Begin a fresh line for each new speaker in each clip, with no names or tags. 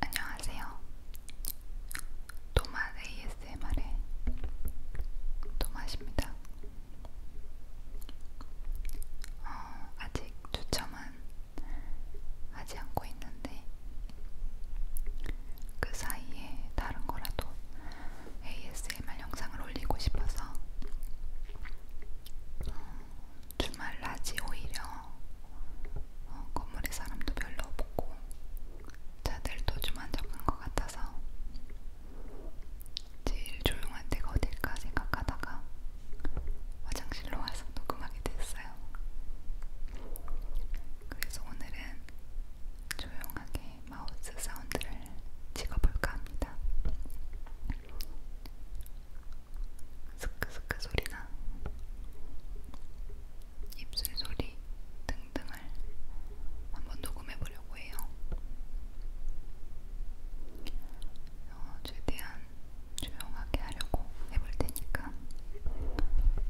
안녕하세요. 도맛 ASMR의 도맛입니다. 어, 아직 추첨은 하지 않고 있는데 그 사이에 다른 거라도 ASMR 영상을 올리고 싶어서 어, 주말 낮이 오히려 어, 건물에 사람도 별로 없고 자들도 좀 안정한 것 같아서 제일 조용한 데가 어딜까 생각하다가 화장실로 와서 녹음하게 됐어요.
그래서 오늘은 조용하게 마우스 사운드를 찍어볼까 합니다. 스크스크 소리나 입술 소리 등등을 한번 녹음해 보려고 해요. 어, 최대한 조용하게 하려고 해볼 테니까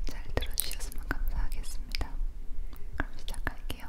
잘 들어주셨으면 감사하겠습니다. 그럼 시작할게요.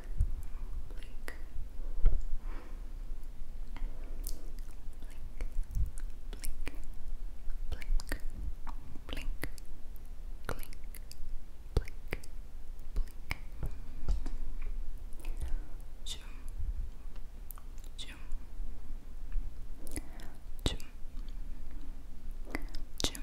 blink, blink, blink, blink, blink, blink, blink, blink, zoom, zoom, zoom, zoom. Zoom,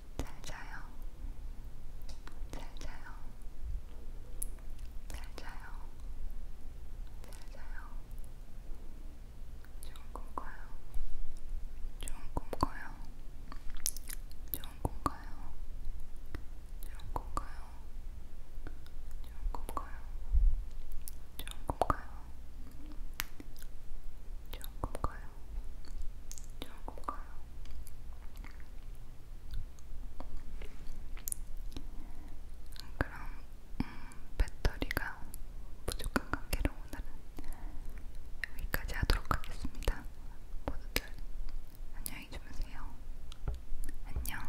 再加油！再加油！再加油！再加油！좋은 꿈꿔요. 좋은 꿈꿔요. 좋은 꿈꿔요. 좋은 꿈꿔요. 좋은 꿈꿔요. 좋은 꿈꿔요. 좋은 꿈꿔요. 조금 가요. 조금 가요. 그럼 음, 배터리가 부족한 관계로 오늘은 여기까지 하도록 하겠습니다. 모두들 안녕히 주무세요. 안녕.